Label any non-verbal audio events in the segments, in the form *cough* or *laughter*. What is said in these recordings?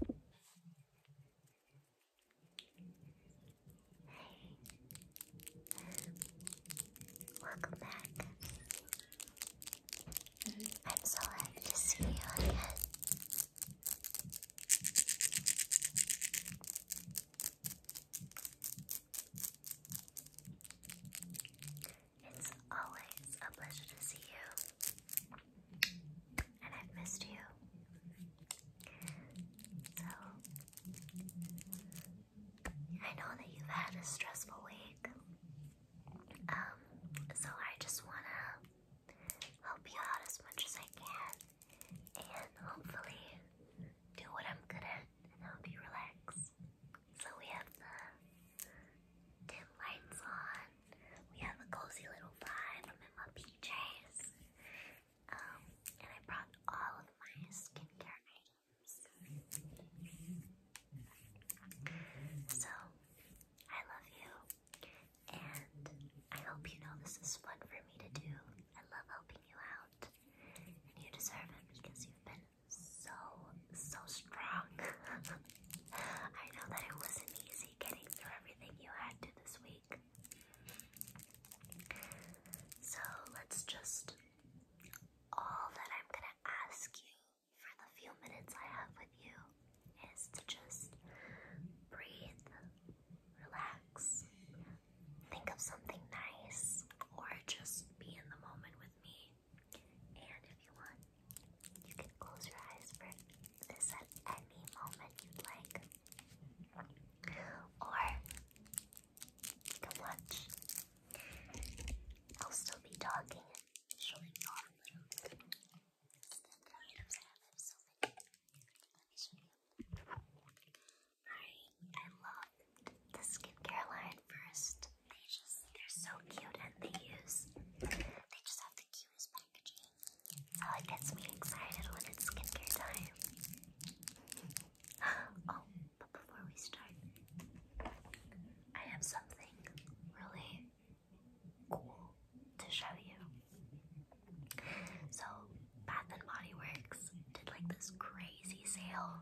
Welcome back. I'm so happy to see you again. It's always a pleasure to see you and I've missed you. So, I know that you've had a stressful week. Um, so I just want to help you out as much as I can and hopefully do what I'm good at help you relax. So we have the dim lights on we have a cozy little vibe. I'm in my PJs. Um, and I brought all of my skincare items. So, I love you. And I hope you know this is fun for me to do. I love helping you out. And you deserve it because you've been so, so strong. *laughs* I know that it wasn't getting through everything you had to this week. So let's just. All that I'm gonna ask you for the few minutes I have with you is to just breathe, relax, think of something nice, or just be in the moment with me. And if you want, you can close your eyes for this at any moment you'd like. Or you can watch. I'll still be talking and showing you I I love the skincare line first. They just, they're so cute and they use, they just have the cutest so oh, it gets me excited when it's skincare time. *gasps* oh, but before we start, I have something really cool to show you. So Bath and Body Works did like this crazy sale,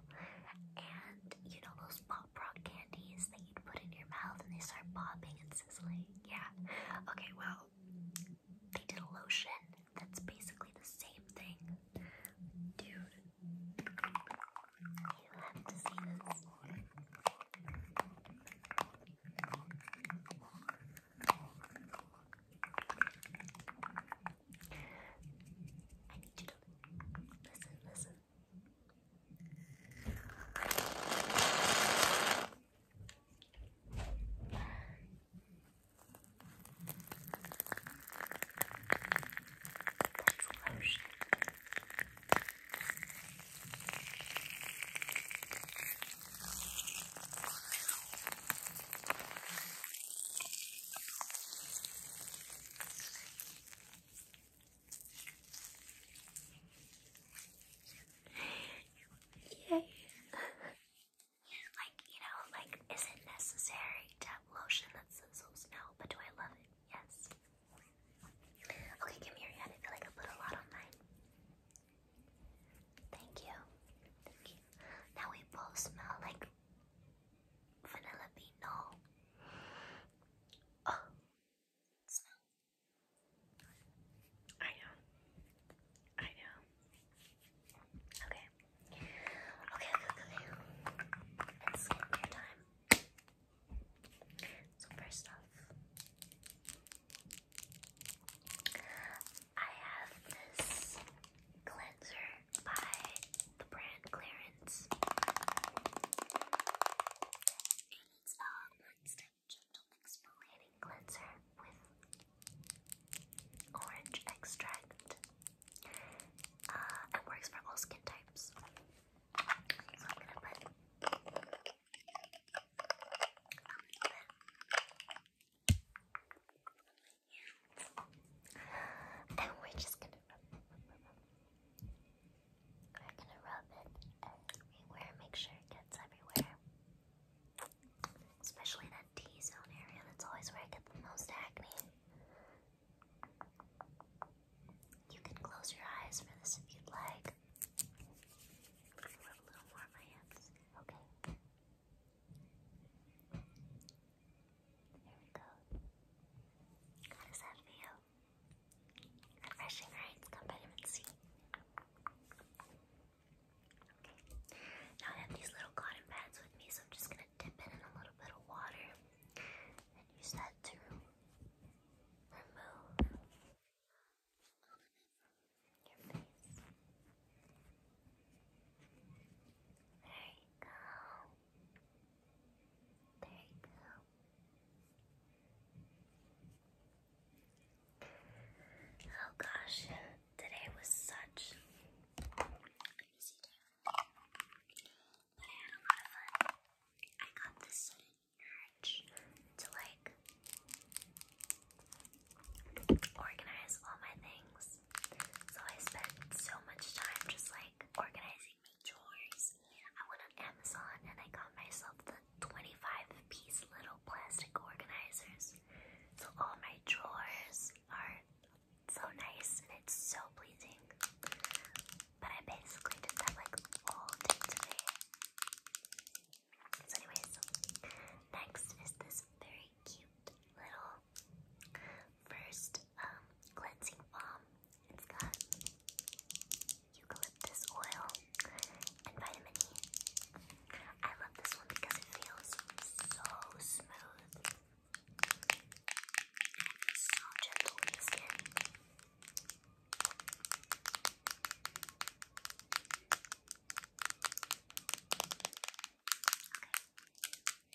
and you know those pop rock candies that you put in your mouth and they start popping and yeah. Okay, well, they did a lotion that's basically the same thing. Dude, you have to see this. I need you to listen, listen, lotion. Yay. like, you know, like, is it necessary to have lotion that sizzles? No, but do I love it? Yes. Okay, give me your I feel like I put a lot on mine. Thank you. Thank you. Now we both smell like vanilla bean. Oh, smell. I know. I know. Okay. Okay, okay, okay. It's skincare time. So first off, I have this cleanser by the brand Clarence. Um, it's a gentle exfoliating cleanser with orange extract. it uh, works for all skin types. and we're just gonna I'm gonna rub it everywhere, make sure it gets everywhere. Especially that T-zone area, that's always where I get the most acne. You can close your eyes for this if you'd like. rub a little more on my hands. Okay. There we go. How does that feel? Refreshing, right? It's got vitamin C. Okay. Now I have these little cotton pads with me, so I'm just gonna dip it in a little bit of water and use that to remove your face. There you go. There you go. Oh gosh, today was such But I had a lot of fun. I got this urge to like organize all my things. So I spent so much time just like organizing my chores I went on Amazon and I got myself the 25 piece little plastic organizers. So all my drawers are so nice and it's so pleasing. But I basically just that like all day today. So anyways, next is this very cute little first um, cleansing balm it's got eucalyptus oil and vitamin E. I love this one because it feels so smooth. It's so gentle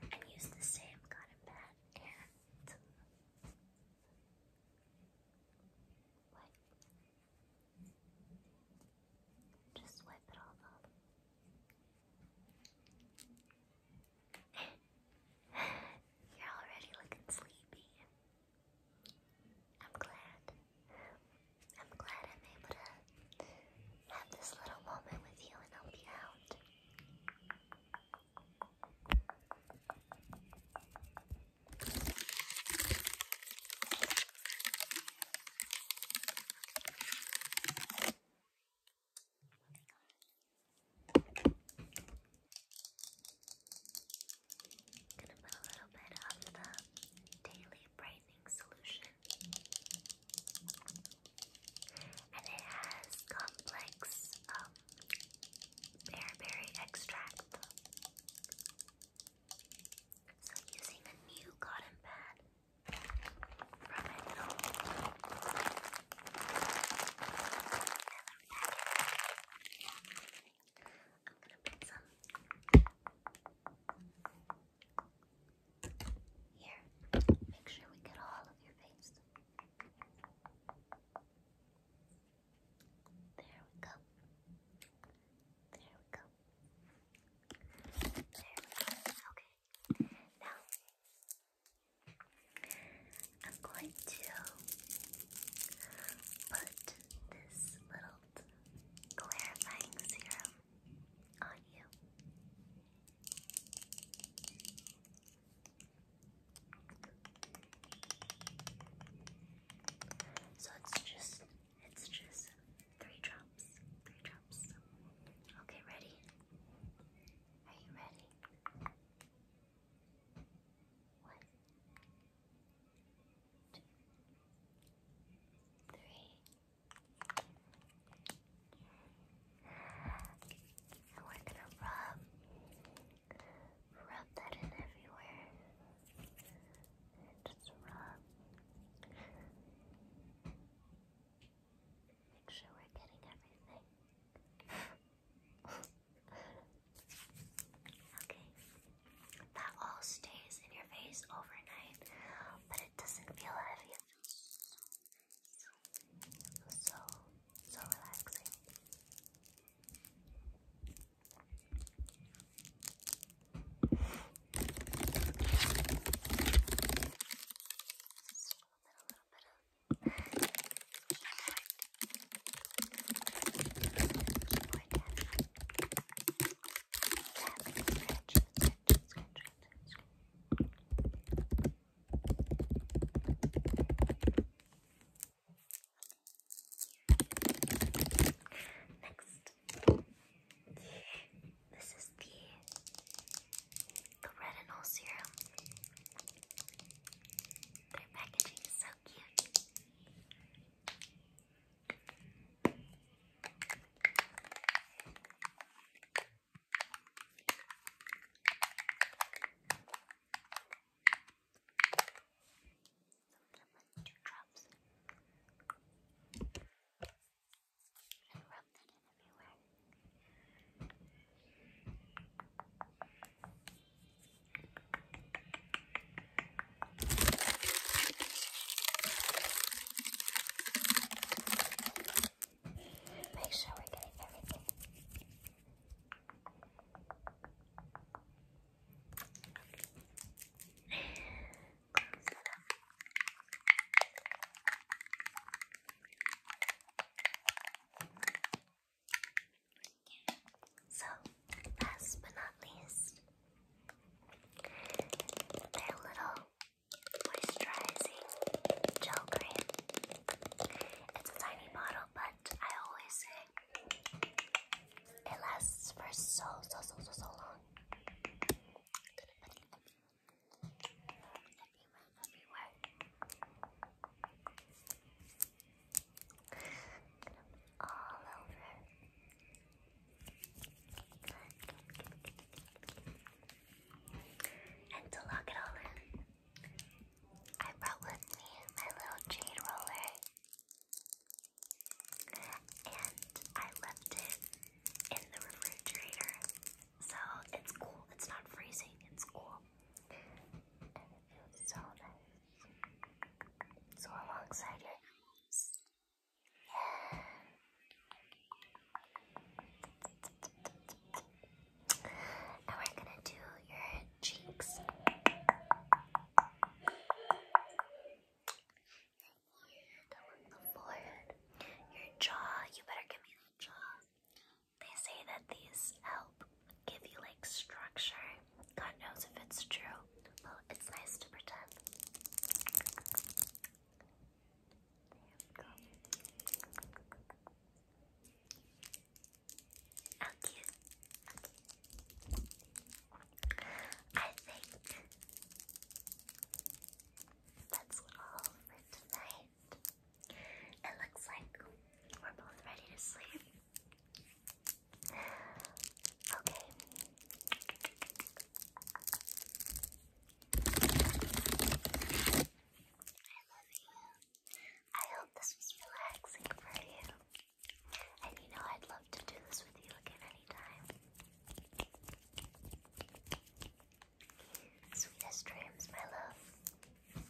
And use the same cotton pad Just wipe it all up. *laughs* You're already looking sleepy. I'm glad. I'm glad I'm able to have this little moment with you and I'll be out. gonna put a little bit of the daily break brightening solution. And it has complex um, bearberry extract. So, using a new cotton pad from I'm gonna put some here. Make sure we get all of your face. There we go. There we go. There Okay. Now I'm going to put this little salt clarifying serum on you. So it's just it's just three drops. Three drops. Okay, ready? Are you ready? One, and we're gonna rub, rub that in everywhere. just rub. Make sure we're getting everything. *laughs* okay. That all stays in your face overnight, but it doesn't feel heavy. so, so, relaxing. A little bit, of Next, this is the the retinol serum. Their packaging is so cute two drops and rub that in everywhere. Make sure we're getting everything. So, last but not least, their little moisturizing gel cream. It's a tiny bottle, but I always say it lasts for so, so, so, so, so long all over. And to lock it all in, I brought with me my little jade roller. And I left it in the refrigerator. So it's cool. It's not freezing. It's cool. And it feels so nice. So alongside your eyes. Yeah. And we're gonna do your cheeks. And forehead. Your jaw, you better give me the jaw. They say that these help give you like structure. God knows if it's true. Well, it's nice to pretend. There we go. How I think that's all for tonight. It looks like we're both ready to sleep. Okay. I love you. I hope this was relaxing for you. And you know I'd love to do this with you again anytime. Sweetest dreams, my love.